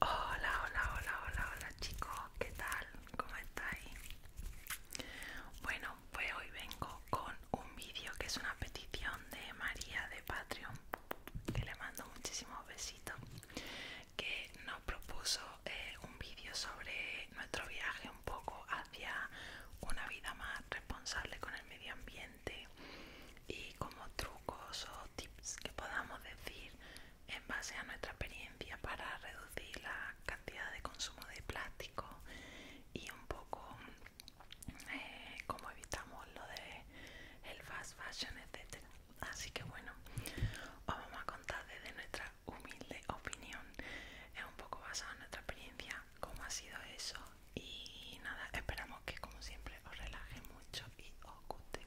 Hola, hola, hola, hola, hola chicos, ¿qué tal? ¿Cómo estáis? Bueno, pues hoy vengo con un vídeo que es una petición de María de Patreon, que le mando muchísimos besitos, que nos propuso eh, un vídeo sobre nuestro viaje un poco hacia una vida más responsable con el medio ambiente y como trucos o tips que podamos decir en base a nuestra experiencia para reducir la cantidad de consumo de plástico y un poco como eh, cómo evitamos lo de el fast fashion etcétera así que bueno os vamos a contar desde nuestra humilde opinión es un poco basado en nuestra experiencia cómo ha sido eso y nada, esperamos que como siempre os relaje mucho y os guste.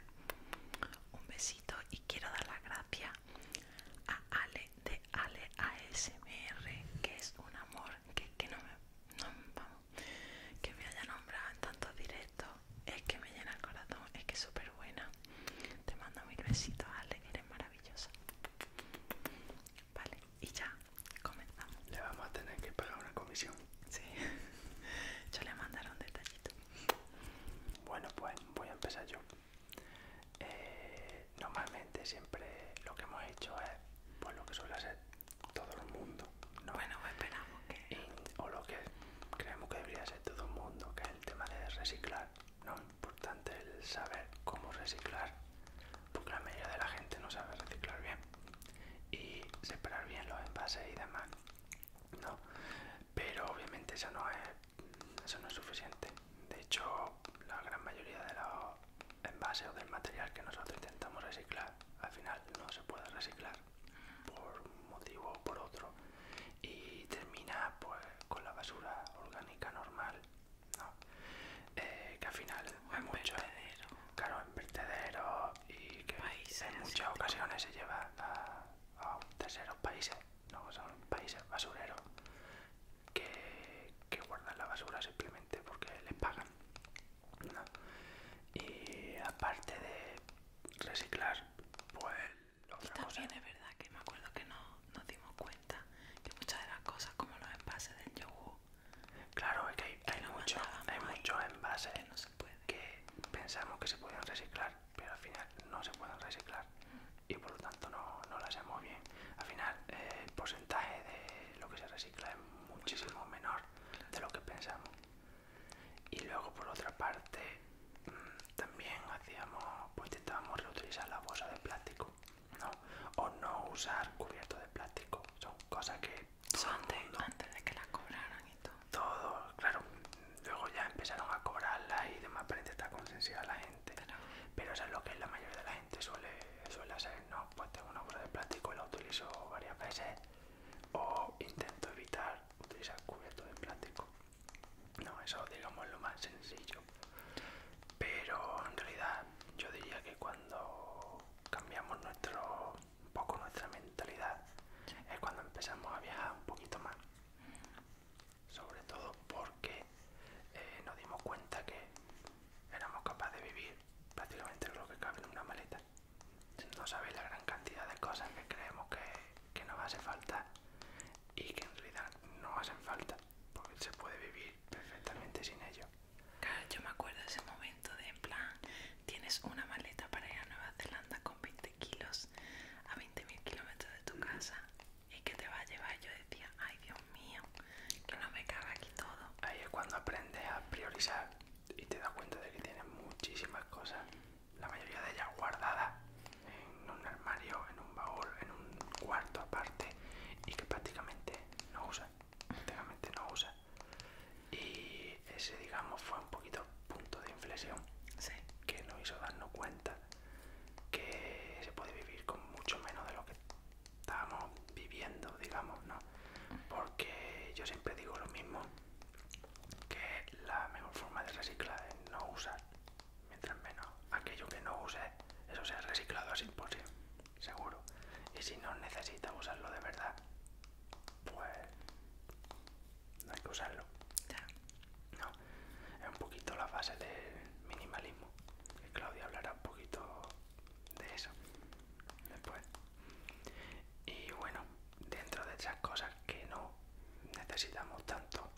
Un besito y quiero dar las gracias a Ale de Ale ASMR, que es un amor que, que no me vamos, que me haya nombrado en tantos directos, es que me llena el corazón, es que es súper buena. Te mando mil besitos, Ale, eres maravillosa. Vale, y ya comenzamos. Le vamos a tener que pagar una comisión. Sí, yo le mandaré un detallito. Bueno, pues voy a empezar yo. Eh, normalmente siempre lo que hemos hecho es pues, lo que suele hacer todo el mundo. ¿no? Bueno, pues, esperamos que... o lo que creemos que debería ser todo el mundo, que es el tema de reciclar. No importante el saber cómo reciclar porque la mayoría de la gente no sabe reciclar bien y separar bien los envases y demás no pero obviamente eso no es eso no es suficiente de hecho la gran mayoría de los envases o del material que nosotros intentamos reciclar al final no se puede reciclar por un motivo o por otro y termina pues con la basura orgánica normal eh, que al final es mucho, vertedero. en vertedero y que en muchas ocasiones se lleva a, terceros países, no son países basureros que, guardan la basura simplemente porque les pagan. Y aparte de reciclar, pues otra y también es verdad que me acuerdo que no nos dimos cuenta que muchas de las cosas como los envases del yogur Claro, que hay, hay muchos envases que, pensamos que se pueden reciclar, pero al final no se pueden reciclar mm. y por lo tanto no, lo hacemos bien. Al final eh, el porcentaje de lo que se recicla es muchísimo menor de lo que pensamos. Y luego por otra parte mm, también hacíamos, pues intentábamos reutilizar la bolsa de plástico. O no usar cubierto de plástico. Son cosas que... Son antes de que las cobraran y todo. Todo, claro. Luego ya empezaron a cobrarla y demás más está está a la gente. Pero, eso es lo que la mayoría de la gente suele, hacer, ¿no? Pues tengo una bolsa de plástico y la utilizo varias veces. O intento evitar utilizar cubiertos de plástico. No, eso digamos es lo más sencillo pero en realidad yo diría que cuando cambiamos nuestro un poco nuestra mentalidad es cuando empezamos a viajar un poquito más sobre todo porque eh, nos dimos cuenta que éramos capaces de vivir prácticamente lo que cabe en una maleta no sabéis la gran cantidad de cosas que creemos que, que nos hace falta y que en realidad no hacen falta porque se puede vivir perfectamente sin ello. yo me acuerdo de ese momento de en plan, tienes una maleta para ir a Nueva Zelanda con 20 kilos a 20.000 kilómetros de tu casa y que te va a llevar. Yo decía, ay Dios mío, que no me caga aquí todo. Ahí es cuando aprendes a priorizar y te das cuenta de que tienes muchísimas cosas, la mayoría de ellas guardadas en un armario, en un baúl, en un cuarto aparte y que prácticamente no usa, no usa. Y ese, digamos, fue un poquito punto de inflexión que nos hizo darnos cuenta que se puede vivir con mucho menos de lo que estábamos viviendo, digamos, ¿no? Porque yo siempre digo lo mismo, que la mejor forma de reciclar es no usar mientras menos aquello que no use, eso sea reciclado así por seguro. Y si no necesita usarlo de verdad, pues no hay que usarlo. No, es un poquito la fase del minimalismo. Que Claudia hablará un poquito de eso después. Y bueno, dentro de esas cosas que no necesitamos tanto,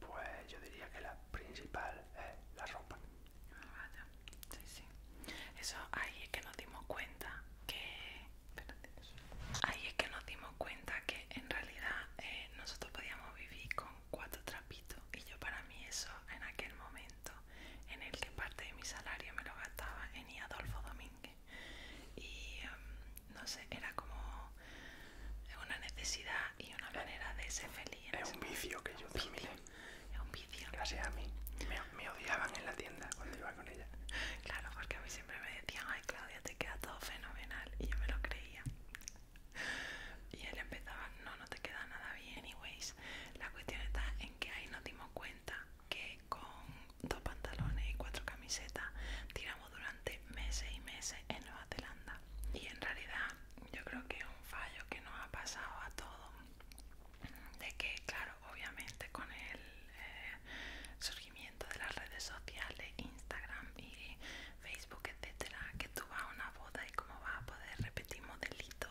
pues yo diría que la principal es la ropa. Ah, sí, sí. Eso ahí es que nos dimos cuenta que... ahí es que nos dimos cuenta que en realidad eh, nosotros podíamos vivir con cuatro trapitos y yo para mí eso en aquel momento en el que parte de mi salario me lo gastaba en Adolfo Domínguez y em, no sé, era como es una necesidad y una manera de ser feliz. Es un vicio que yo Es un vicio. Gracias a mí. Me, odiaban en la tienda cuando iba con ella. Claro, porque a mí siempre me decían, ay Claudia, te queda todo fenomenal. Y yo me lo creía. Y él empezaba, no, no te queda nada bien, anyways. La cuestión está en que ahí nos dimos cuenta que con dos pantalones y cuatro camisetas tiramos durante meses y meses en Nueva Zelanda y en realidad yo creo que es un fallo que nos ha pasado a todos de que claro obviamente con el eh, surgimiento de las redes sociales Instagram y Facebook etcétera que tú vas a una boda y cómo vas a poder repetir modelitos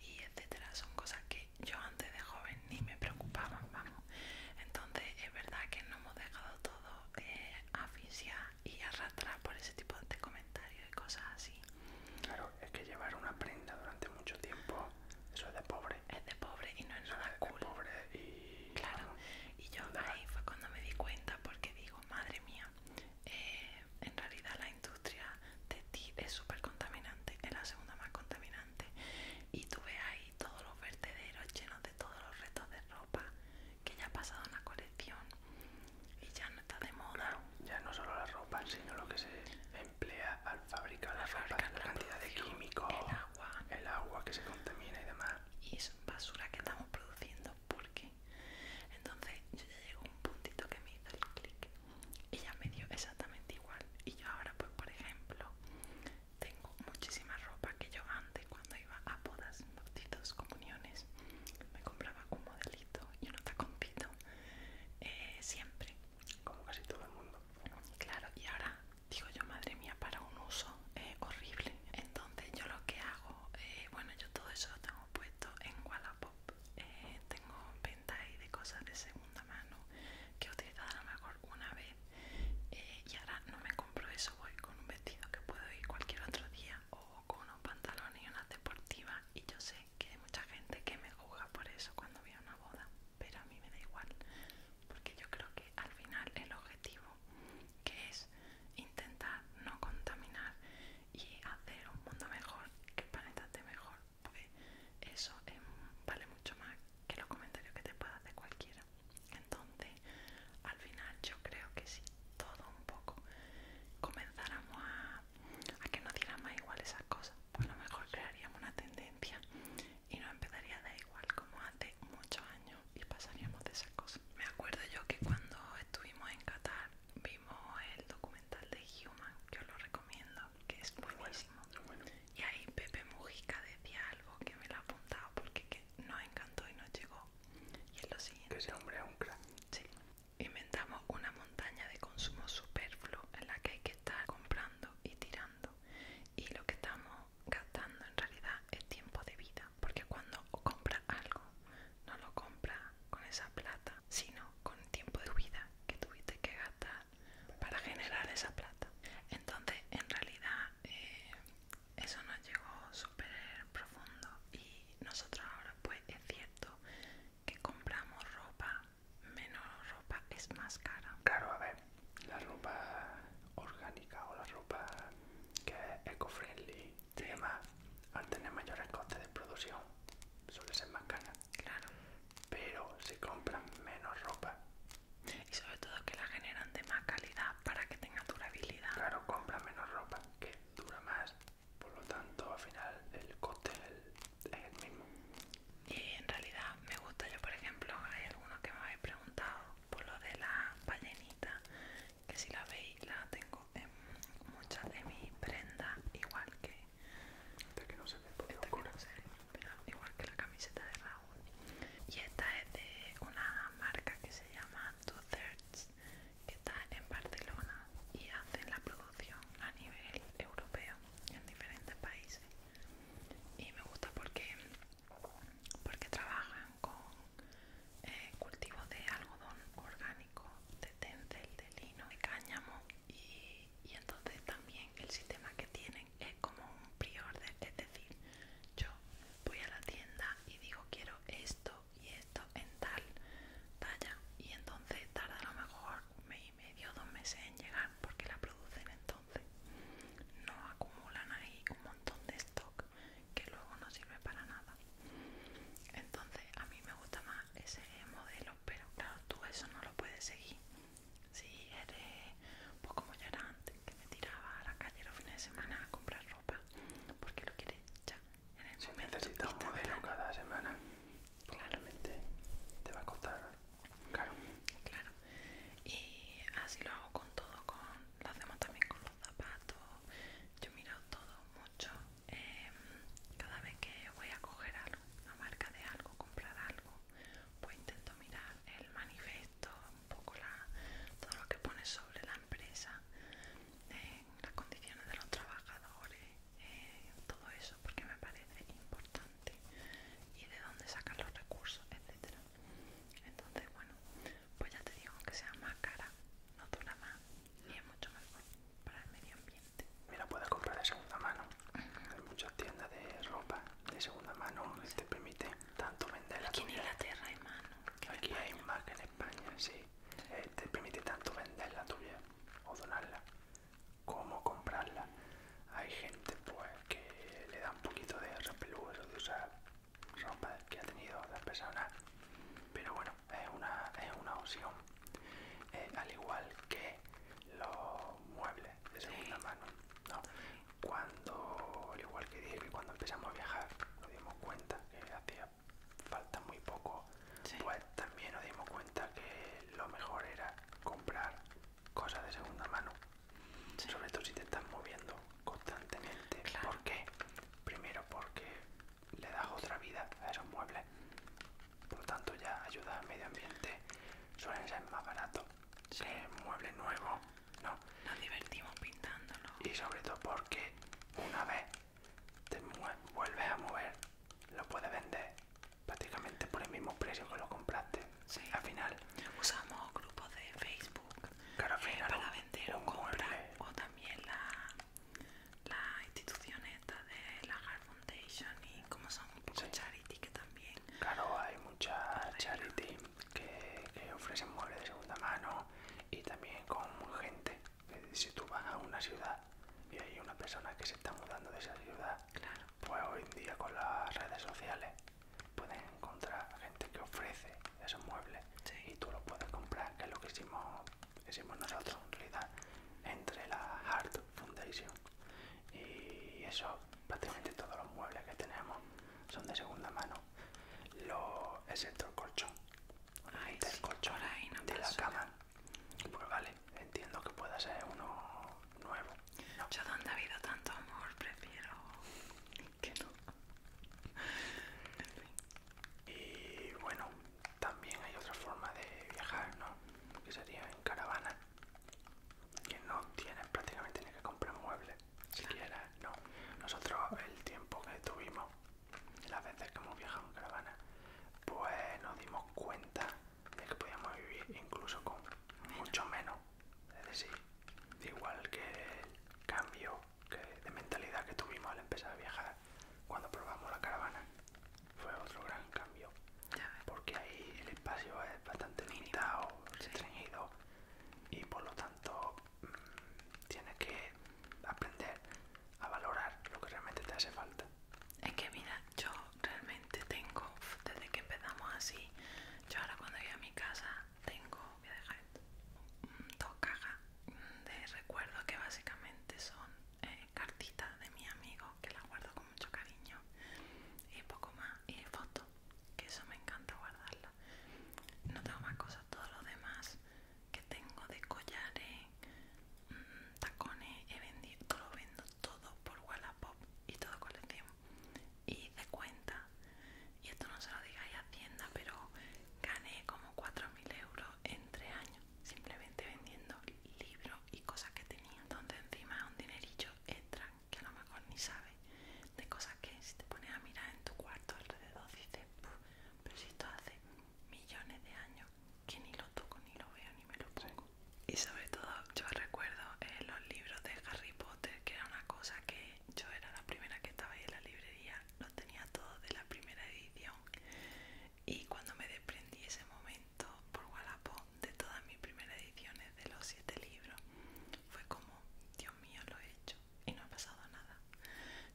y etcétera son cosas que yo antes de joven ni me preocupaba vamos entonces es verdad que no hemos dejado todo eh, y arrastrar por ese tipo de comentarios y cosas así. Claro, es que llevar una prenda durante mucho tiempo, eso es de pobre. Es de pobre y no es nada cool. pobre y... Claro, y yo ahí fue cuando me di cuenta porque digo, madre mía, eh, en realidad la industria de ti es súper contaminante, es la segunda más contaminante. Y tú ves ahí todos los vertederos llenos de todos los restos de ropa que ya ha pasado una colección y ya no está de moda. Ya no solo la ropa, sino lo que se emplea al fabricar la, la, cantidad de químicos, el agua. el agua que se contamina y demás. Y es basura que estamos produciendo, porque Entonces yo ya a un puntito que me hizo el clic y ya me dio exactamente igual. Y yo ahora, pues por ejemplo, tengo muchísima ropa que yo antes cuando iba a bodas bodas, comuniones, me compraba un modelito y no está compito eh, siempre. Como casi todo el mundo. Claro, y ahora digo yo, madre mía, para un uso eh, horrible. Entonces yo lo que hago, eh, bueno, yo todo eso lo tengo puesto en Wallapop. tengo venta ahí de cosas de segunda mano que he utilizado a lo mejor una vez y ahora no me compro eso, voy con un vestido que puedo ir cualquier otro día con unos pantalones y unas deportivas y yo sé que hay mucha gente que me juzga por eso cuando voy a una boda, pero a mí me da igual, porque yo creo que al final el objetivo que es intentar no contaminar y hacer un mundo mejor, que el planeta esté mejor, porque eso vale mucho más que los comentarios que te puedas de cualquiera. Entonces, al final yo creo que si todo un poco comenzáramos a, que nos diera más igual esas cosas, pues a lo mejor crearíamos una tendencia y nos empezaría a dar igual como hace muchos años y pasaríamos de esas cosas. Me acuerdo yo que cuando estuvimos en Qatar vimos el documental de Human, que os lo recomiendo, que es buenísimo. Y ahí Pepe Mujica decía algo que me lo ha apuntado porque que nos encantó y nos llegó. Y es lo siguiente. hombre Inventamos una montaña de consumo superfluo en la que hay que estar comprando y tirando. Y lo que estamos gastando en realidad es tiempo de vida. Porque cuando compras algo, no lo compras con esa plata, sino con el tiempo de vida que tuviste que gastar para generar esa plata. Entonces, en realidad, eh, eso nos llegó súper profundo y nosotros ahora pues es cierto que compramos ropa, menos ropa es más cara. Claro, a ver, la ropa orgánica o la ropa que es eco-friendly al tener mayores costes de producción, suele ser más cara. Claro. Pero si compran menos ropa. Y sobre todo que la generan de más calidad para que tenga durabilidad. Claro, compran menos ropa que dura más por lo tanto al final el coste es el, mismo y en realidad me gusta yo por ejemplo hay algunos que me habéis preguntado por lo de la ballenita que si la veis la tengo en muchas de mis prendas igual que igual que la camiseta de Raúl y esta es de una marca que se llama Two Thirds que está en Barcelona y hacen la producción a nivel europeo en diferentes países. Y me gusta porque, porque trabajan con eh, cultivo cultivos de algodón orgánico, de tencel, de lino, de cáñamo y, y entonces también el sistema que tienen es como un prior order es decir, yo voy a la tienda y digo quiero esto y esto en tal talla y entonces tarda a lo mejor un mes y medio dos meses en llegar porque la producen entonces no acumulan ahí un montón de stock que luego no sirve para nada entonces a mí me gusta más ese modelo pero claro tú eso no lo puedes seguir si eres un pues como ya era antes me tiraba a la calle los fines de semana a comprar ropa porque lo quiere ya en el si necesitas modelo cada semana pues claramente te va a costar claro y así lo hago con todo con lo hacemos también con los zapatos yo miro todo mucho em, cada vez que voy a coger algo una marca de algo comprar algo pues intento mirar el manifesto un poco la, todo lo que pone sobre la empresa, las condiciones de los trabajadores, eh, todo eso, porque me parece importante y de dónde sacar los recursos, etcétera. Entonces, bueno, pues ya te digo, que sea más cara, no dura más y es mucho mejor para el medio ambiente. Mira, puedes comprar de segunda mano. Hay muchas tiendas de ropa de segunda mano que te permite tanto vender la Aquí en Aquí hay más que en España, sí. Eh, te permite tanto vender la tuya o donarla como comprarla. Hay gente pues que le da un poquito de eso de usar ropa que ha tenido otras personas. Pero bueno, es una, es una opción. Eh, al igual que los muebles de segunda mano cuando, al igual que y cuando empezamos a viajar, nos dimos cuenta que hacía falta muy poco, pues también nos dimos cuenta que lo mejor era comprar cosas de segunda mano, sobre todo si te estás moviendo constantemente. ¿Por qué? Primero porque le das otra vida a esos muebles, por lo tanto ya ayuda al medio ambiente, suelen ser más baratos que muebles nuevos no. Nos divertimos pintándolo. Y sobre todo porque una vez te vuelves a mover, lo puedes vender prácticamente por el mismo precio que lo compraste. Al final. Usamos grupos de Facebook eh, vender o O también la, la institución esta de la Heart Foundation y como son muchos charity que también. Claro, hay mucha charity que, ofrecen muebles de segunda mano y también con gente. Si tú vas a una ciudad y hay una persona que se está mudando de esa ciudad, pues hoy en día con las redes sociales puedes encontrar gente que ofrece esos muebles y tú los puedes comprar, que es lo que hicimos, nosotros en realidad entre la Hard Foundation. Y eso, prácticamente todos los muebles que tenemos son de segunda mano lo, excepto el colchón, colchón de la cama. Pues vale, entiendo que pueda ser uno nuevo. Yo donde ha habido tanto amor prefiero que no. Y bueno, también hay otra forma de viajar, ¿no? Que sería en caravana, que no tienes prácticamente ni que comprar muebles siquiera, no. Nosotros el tiempo que tuvimos, las veces que hemos viajado en caravana, pues nos dimos cuenta de que podíamos vivir incluso con mucho menos. Es decir, igual que el cambio de mentalidad que tuvimos al empezar a viajar cuando probamos la caravana, fue otro gran cambio. Porque ahí el espacio es bastante limitado, restringido y por lo tanto tienes que aprender a valorar lo que realmente te hace falta. Es que mira, yo realmente tengo, desde que empezamos así, yo ahora cuando voy a mi casa tengo, voy a dejar dos cajas de recuerdos que básicamente son eh, cartitas de mi amigo que las guardo con mucho cariño y poco más, y fotos, que eso me encanta guardarlas. No tengo más cosas, todos los demás que tengo de collares, mm, tacones, he vendido, lo vendo todo por Wallapop y todo colección. Y de cuenta, y esto no se lo digáis a Hacienda, pero gané como 4.000 euros en 3 años, simplemente vendiendo libros y cosas que tenía. donde encima un dinerillo extra que a lo mejor ni sabe de cosas que si te pones a mirar en tu cuarto alrededor dices, pero si esto hace millones de años que ni lo toco, ni lo veo, ni me lo pongo. Y sobre todo yo recuerdo eh, los libros de Harry Potter, que era una cosa que yo era la primera que estaba ahí en la librería, los tenía todos de la primera edición. Y cuando me desprendí ese momento por Wallapop de todas mis primeras ediciones de los siete libros, fue como, Dios mío, lo he hecho y no ha pasado nada.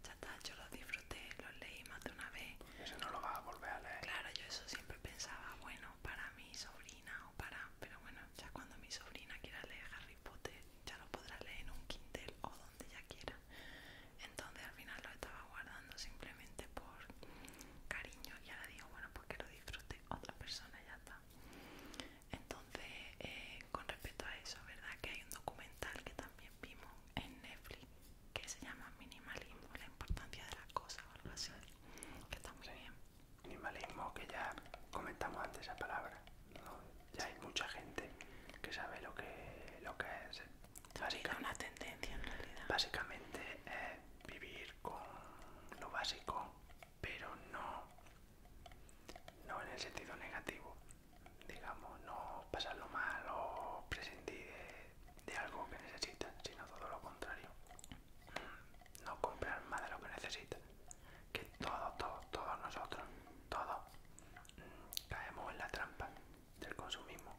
Ya está, yo lo disfruté, lo leí más de una vez. Eso no lo va a volver a leer. Claro, yo eso siempre pensaba, bueno, para mi sobrina o para... Pero bueno, ya cuando mi sobrina quiera leer Harry Potter, ya lo podrá leer en un Kindle o donde ya quiera. Entonces al final lo estaba guardando simplemente por cariño y ahora digo, bueno, porque lo disfrute otra persona ya está. Entonces, eh, con respecto a eso, ¿verdad? Que hay un documental que también vimos en Netflix que se llama Minimalismo, la importancia de las cosas o algo así, que está Minimalismo, que ya comentamos antes esa palabra, ya hay mucha gente que sabe lo que, lo que es. Eh, una tendencia en realidad. Básicamente es vivir con lo básico, pero no no en el sentido negativo, digamos, no pasarlo mal o prescindir de, algo que necesitas, sino todo lo contrario, mm, no comprar más de lo que necesita que todos, todos, todos nosotros, todos mm, caemos en la trampa del consumismo.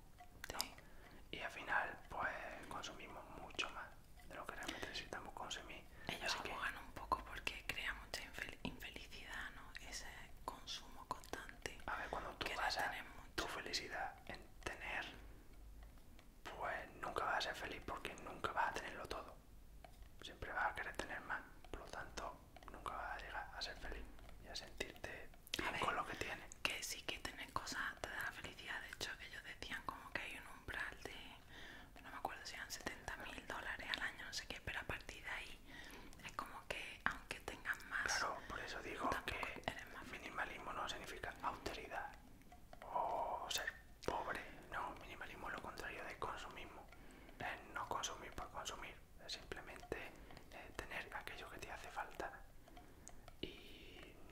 Y al final, pues consumimos mucho más de lo que realmente necesitamos consumir. Ellos abogan un poco porque crea mucha infelicidad, ¿no? Ese consumo constante. A ver, cuando tú basas tu felicidad en tener, pues nunca vas a ser feliz porque nunca vas a tenerlo todo. Siempre vas a querer tener más, por lo tanto, nunca vas a llegar a ser feliz y a sentirte con lo que tienes. Que sí que tener cosas te da la felicidad, de hecho, ellos decían como que hay un umbral de no me acuerdo si eran 70 mil dólares al año, no sé qué, pero a partir de ahí es como que aunque tengan más... Claro, por eso digo que minimalismo no significa austeridad o ser pobre, no, minimalismo es lo contrario de consumismo, no consumir por consumir, es simplemente eh, tener aquello que te hace falta y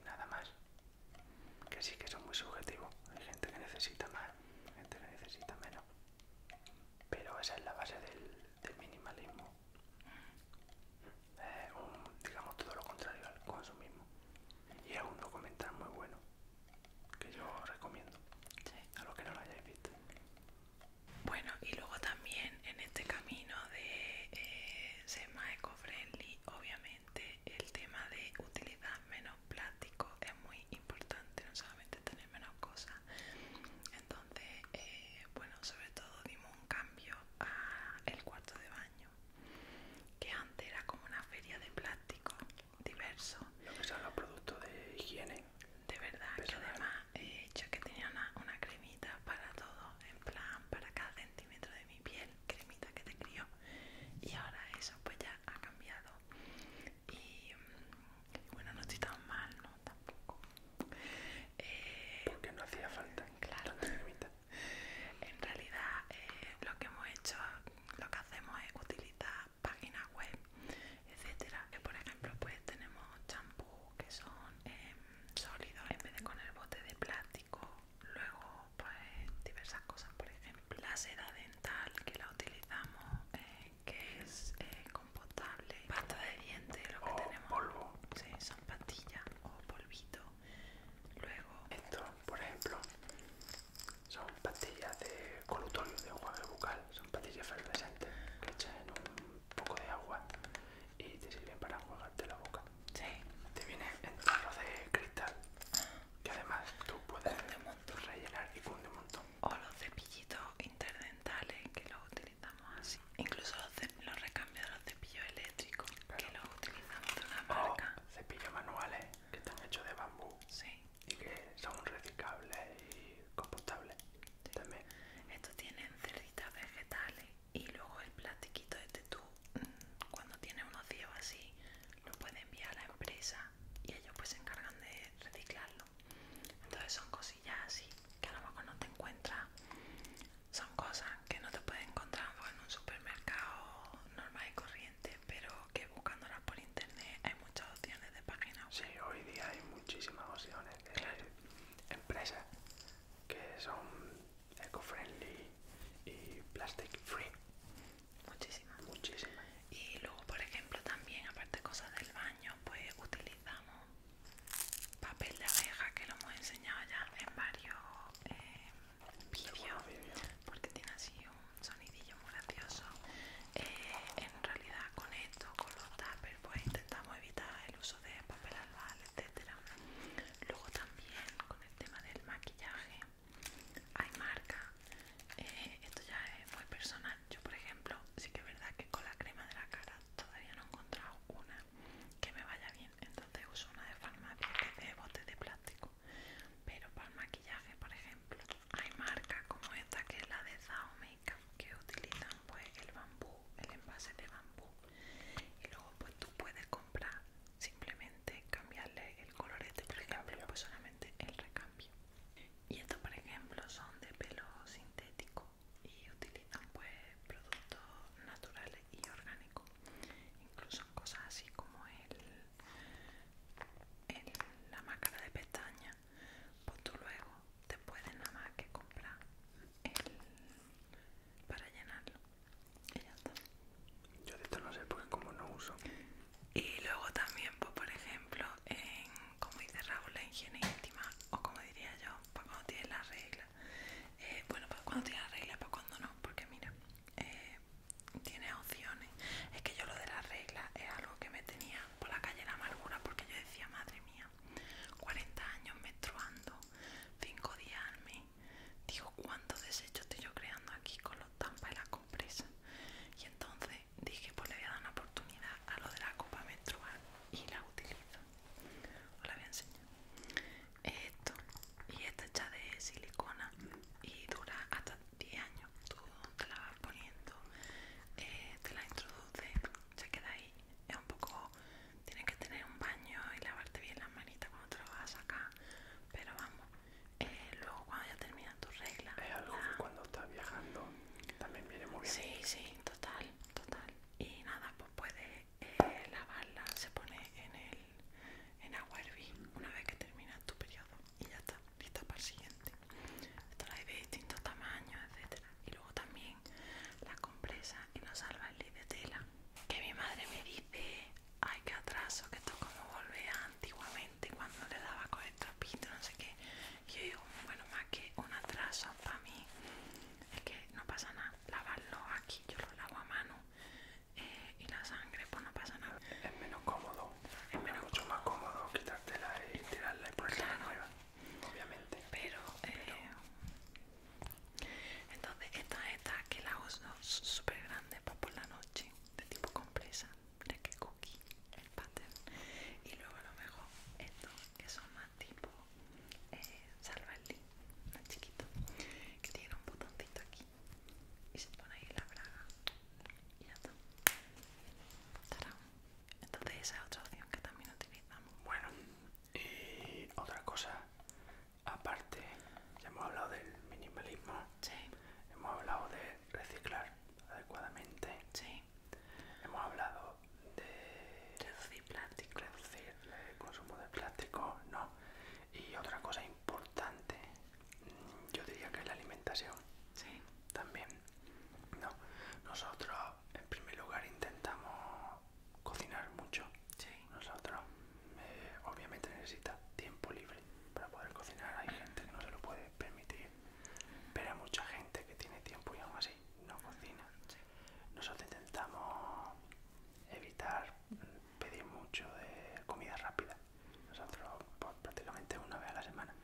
nada más que sí que son muy subjetivo. Hay gente que necesita más, gente que necesita menos. Pero esa es la base del, minimalismo. digamos todo lo contrario al consumismo. Y es un documental muy bueno que yo recomiendo a los que no lo hayáis visto. Bueno, y luego también en este camino de eh, ser más eco-friendly, obviamente el tema de utilizar menos plástico es muy importante, no solamente tener menos cosas. Entonces, eh, bueno, sobre todo dimos un cambio al cuarto de baño, que antes era como una feria de plástico diverso. Lo que son los productos de higiene. De verdad, Pero además he eh, hecho que tenía una cremita para todo, en plan, para cada centímetro de mi piel, cremita que te crió y ahora eso pues ya ha cambiado y mm, bueno no estoy tan mal no tampoco eh, porque no hacía falta claro en realidad eh, lo que hemos hecho lo que hacemos es utilizar páginas web etcétera que por ejemplo pues tenemos champú que son em, sólidos en vez de con el bote de plástico luego pues diversas cosas por ejemplo la seda dental que la utilizamos eh, que es eh, compostable pasta de dientes lo que tenemos polvo sí, son pastillas o polvito luego esto por ejemplo son pastillas de colutorio de enjuague bucal son pastillas fluorescentes que echas en un poco de agua y te sirven para enjuagarte la boca sí. te viene en de cristal que además tú puedes rellenar y funde un montón. O los cepillitos interdentales que los utilizamos así. Incluso los, recambios de los cepillos eléctricos que los utilizamos de una marca. cepillos manuales que están hechos de bambú. Sí. Y que son reciclables y compostables. También. Estos tienen cerditas vegetales y luego el plastiquito de este tubo cuando tiene un ocio así lo puede enviar a la empresa y ellos pues se encargan de reciclarlo. Entonces son cosillas así que a lo mejor no te encuentras. Son cosas que no te puedes encontrar pues, en un supermercado normal y corriente, pero que buscándolas por internet hay muchas opciones de páginas. Sí, hoy día hay muchísimas opciones de empresas que son eco-friendly y eh, plastic free. Muchísimas. Muchísimas. Y luego, por ejemplo, también, aparte de cosas del baño, pues utilizamos papel de abeja que lo hemos enseñado ya en varios eh, vídeos porque tiene así un sonidillo muy gracioso. Eh, en realidad, con esto, con los tappers, pues intentamos evitar el uso de papel albal, etcétera. Luego, también con el tema del maquillaje hay marca eh, esto ya es muy personal yo por ejemplo sí que es verdad que con la crema de la cara todavía no he encontrado una que me vaya bien entonces uso una de farmacia que es de botes de plástico pero para el maquillaje por ejemplo hay marcas como esta que es la de Zao Makeup que utilizan pues el bambú el envase de bambú y luego pues tú puedes para simplemente cambiarle el colorete por ejemplo pues solamente el recambio y estos por ejemplo son de pelo sintético y utilizan pues productos naturales y orgánicos incluso cosas así como la máscara de pestaña pues tú luego te puedes nada más que comprar para llenarlo y Yo de esto no sé porque como no uso. Y luego también, pues por ejemplo, en, como dice Raúl, la higiene íntima, o como diría yo, pues cuando tienes las reglas. Eh, bueno, pues cuando tienes las reglas, pues cuando no, porque mira, tiene eh, tienes opciones. Es que yo lo de la reglas es algo que me tenía por la calle la amargura, porque yo decía, madre mía, 40 años menstruando, 5 días al mes, Digo, ¿cuánto desecho estoy yo creando aquí con los tampas y la compresa? Y entonces dije, pues le voy a dar una oportunidad a lo de la copa menstrual y la utilizo. Os la voy a Esto, y esta hecha de silicona y dura hasta 10 años. Tú te la vas poniendo, eh, te la introduces, se queda ahí. Es un poco, tienes que tener un baño y lavarte bien las manitas cuando te lo vas a Pero vamos, eh, luego cuando ya termina tu regla. Es algo cuando estás viajando también viene muy bien. Sí, sí, total, total. Y nada, pues puedes eh, lavarla, se pone en el en agua hervir una vez que termina tu periodo y ya está, lista para el siguiente. Esto la hay de distintos tamaños, etcétera. Y luego también la compresa y los albales de tela. Que mi madre me dice, ay qué atraso, que esto como volvía antiguamente cuando le daba con el trapito, no sé qué. yo digo, bueno, más que un atraso para mí, es que no pasa nada, lavarlo aquí, yo lo lavo a mano eh, y la sangre, pues no pasa nada. Es menos cómodo, es, mucho más cómodo quitártela y tirarla y ponerla nueva, obviamente. Pero eh, entonces esta esta que la uso súper grande para por la noche, de tipo compresa, de que cookie, el pattern. Y luego lo mejor esto, que son más tipo eh, más chiquito, que tiene un botoncito aquí y se pone ahí la braga y ya está. Entonces esa es otra opción que también utilizamos. Bueno, y otra cosa Aparte, ya hemos hablado del minimalismo, hemos hablado de reciclar adecuadamente, hemos hablado de reducir el consumo de plástico, no. Y otra cosa importante, yo diría que es la alimentación. También, no. Nosotros en primer lugar intentamos cocinar mucho. Nosotros, eh, obviamente, necesita tiempo libre para poder cocinar. Hay gente que no se lo puede permitir, pero hay mucha gente que tiene tiempo y aún así no cocina. Nosotros intentamos evitar mm, pedir mucho de comida rápida. Nosotros, pues, prácticamente una vez a la semana.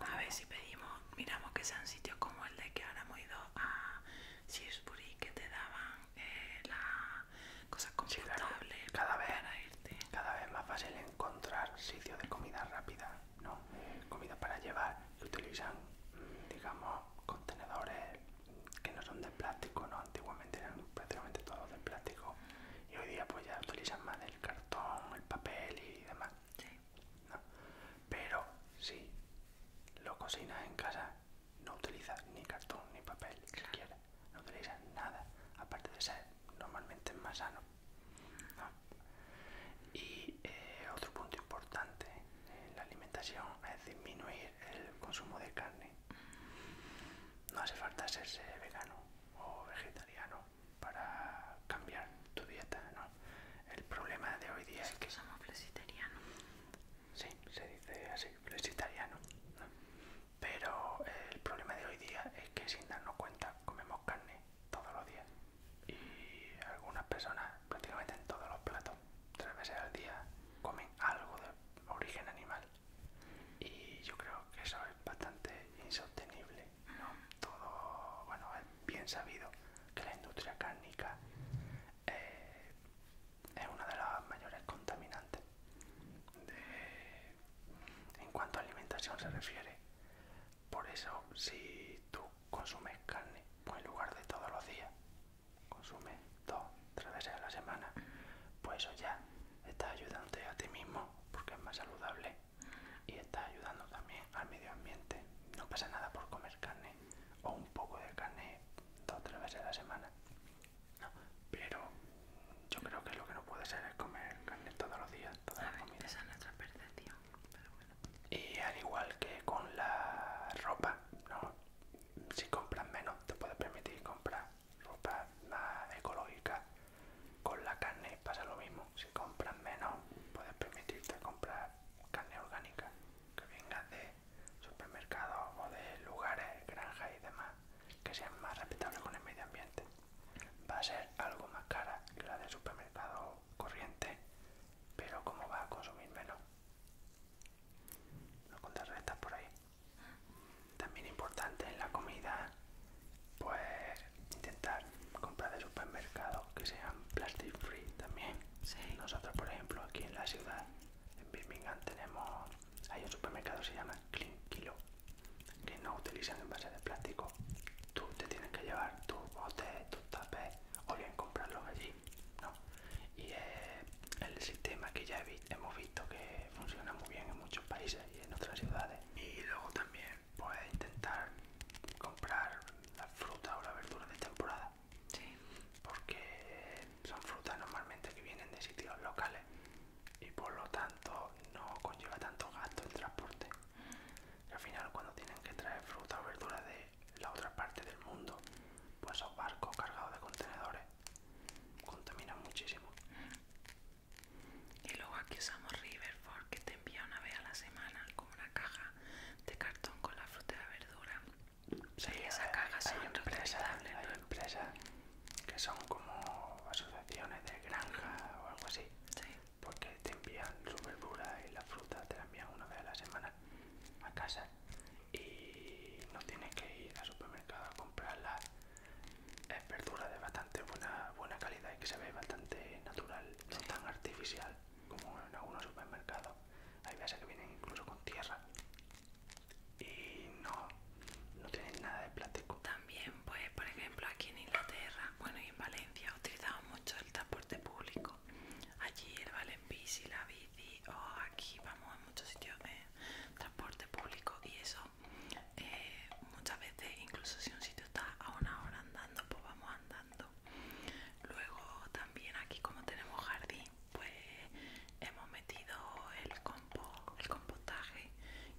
a ver si pedimos, miramos que sean sitios como el de que ahora hemos ido a Shrewsbury que te daban cosas eh, la cosa cada vez para Cada vez más fácil encontrar sitios de comida rápida, ¿no? Comida para llevar y utilizan, digamos, contenedores que no son de plástico, ¿no? Antiguamente eran prácticamente todos de plástico y hoy día pues ya utilizan más el cartón, el papel y demás. Pero si lo cocinas en casa, no utilizas ni cartón ni papel siquiera no utilizas nada, aparte de ser normalmente más sano. Ah. Y eh, otro punto importante en eh, la alimentación es disminuir el consumo de carne. No hace falta ser vegano o vegetariano para cambiar tu dieta, ¿no? El problema de hoy día es que somos Sí, se dice así, pero es italiano. Pero el problema de hoy día es que sin darnos cuenta comemos carne todos los días. Y algunas personas, prácticamente en todos los platos, tres veces al día, comen algo de origen animal. Y yo creo que eso es bastante insostenible. ¿no? Todo, bueno, es bien sabido que la industria cárnica eh, es una de las mayores contaminantes. En cuanto a alimentación se refiere, por eso si tú consumes carne, pues en lugar de todos los días, consumes dos, tres veces a la semana, pues eso ya estás ayudándote a ti mismo porque es más saludable y estás ayudando también al medio ambiente. No pasa nada por comer carne o un poco de carne dos o tres veces a la semana. No, pero yo creo que lo que no puede ser es comer carne todos los días, todas las Esa nuestra percepción, pero bueno. Y al igual que con la ropa, si compras menos, te puedes permitir comprar ropa más ecológica. Con la carne pasa lo mismo, si compras menos, puedes permitirte comprar carne orgánica que venga de supermercado o de lugares, granjas y demás que sean más respetables con el medio ambiente. Va a ser algo más cara que la del supermercado corriente, pero como va a consumir menos, no estas por ahí. También importante en la comida, pues intentar comprar de supermercado que sean plastic free también. Nosotros, por ejemplo, aquí en la ciudad en Birmingham tenemos. Hay un supermercado que se llama Clean Kilo, que no utilizan envases de plástico. Tú te tienes que llevar tus botes, tus tapes, o bien comprarlos allí. ¿no? Y es el sistema que ya hemos visto que funciona muy bien en muchos países y en otras ciudades. Y luego también puedes intentar comprar la fruta o la verdura de temporada porque son frutas normalmente que vienen de sitios locales y por lo tanto no conlleva tanto gasto el transporte. Mm. al final cuando tienen que traer fruta o verdura de la otra parte del mundo, pues esos barcos cargados de contenedores contaminan muchísimo. Mm. Y luego aquí usamos Riverford que te envía una vez a la semana como una caja de cartón con la fruta y la verdura Sí, hay, empresas, que son como asociaciones de granja o algo así, porque te envían su verdura y la fruta, te la envían una vez a la semana a casa y no tienes que ir al supermercado a comprarla. Es verdura de bastante buena, buena calidad y que se ve bastante natural, no tan artificial como en algunos supermercados. Hay veces que vienen incluso con tierra y no, no tienen nada de plástico. También, pues, por ejemplo, aquí en Inglaterra, bueno, y en Valencia, utilizamos mucho el transporte público. Allí el valen la bici, o aquí vamos a muchos sitios de transporte público y eso eh, muchas veces, incluso si un sitio está a una hora andando, pues vamos andando. Luego también aquí como tenemos jardín pues hemos metido el, compo, el compostaje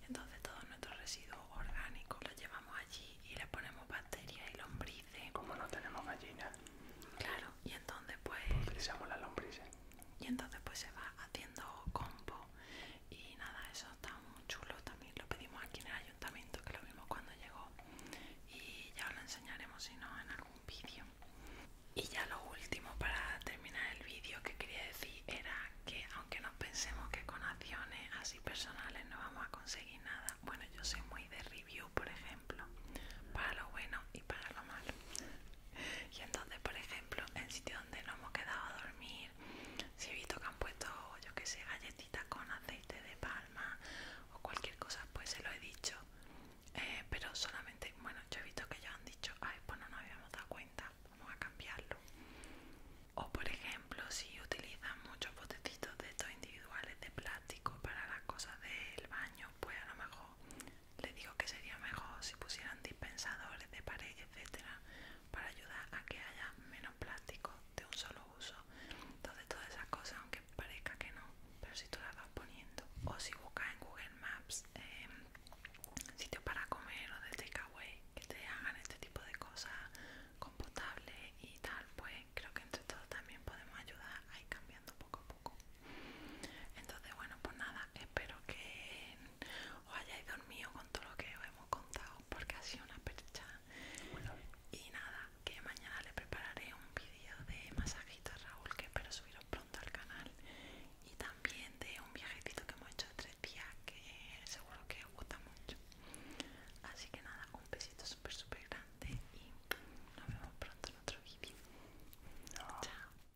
y entonces todos nuestros residuos orgánicos los llevamos allí y le ponemos bacterias y lombrices. Como no tenemos gallinas. Claro, y entonces pues, pues... Utilizamos las lombrices. Y entonces pues se va haciendo compo y nada, eso está muy chulo también. Lo pedimos aquí en el ayuntamiento que lo vimos cuando llegó y ya os lo enseñaremos si no en algún vídeo. Y ya lo último para terminar el vídeo que quería decir era que aunque nos pensemos que con acciones así personales no vamos a conseguir nada, bueno yo soy muy de review por ejemplo, para lo bueno y para lo malo. Y entonces por ejemplo el sitio donde nos hemos quedado a dormir, si he visto que han puesto yo que sé galletitas con aceite de palma o cualquier cosa pues se lo he dicho eh, pero solamente, bueno, yo he visto que ya han dicho, ay, pues no nos habíamos dado cuenta, vamos a cambiarlo. O por ejemplo, si utilizan muchos botecitos de estos individuales de plástico para las cosas del baño, pues a lo mejor les digo que sería mejor si pusieran dispensadores de pared, etcétera, para ayudar a que haya menos plástico de un solo uso. Entonces todas esas cosas, aunque parezca que no, pero si tú la vas poniendo. O si buscas en Google Maps em, sitios para comer o de takeaway que te hagan este tipo de cosas computables y tal, pues creo que entre todos también podemos ayudar a ir cambiando poco a poco. Entonces, bueno, pues nada, espero que os hayáis dormido con todo lo que os hemos contado porque ha sido una percha. Y nada, que mañana le prepararé un vídeo de masajitos Raúl que espero subir pronto al canal y también de un viajecito que hemos hecho tres días que seguro que os gusta mucho así que nada un besito súper súper grande y nos vemos pronto en otro vídeo chao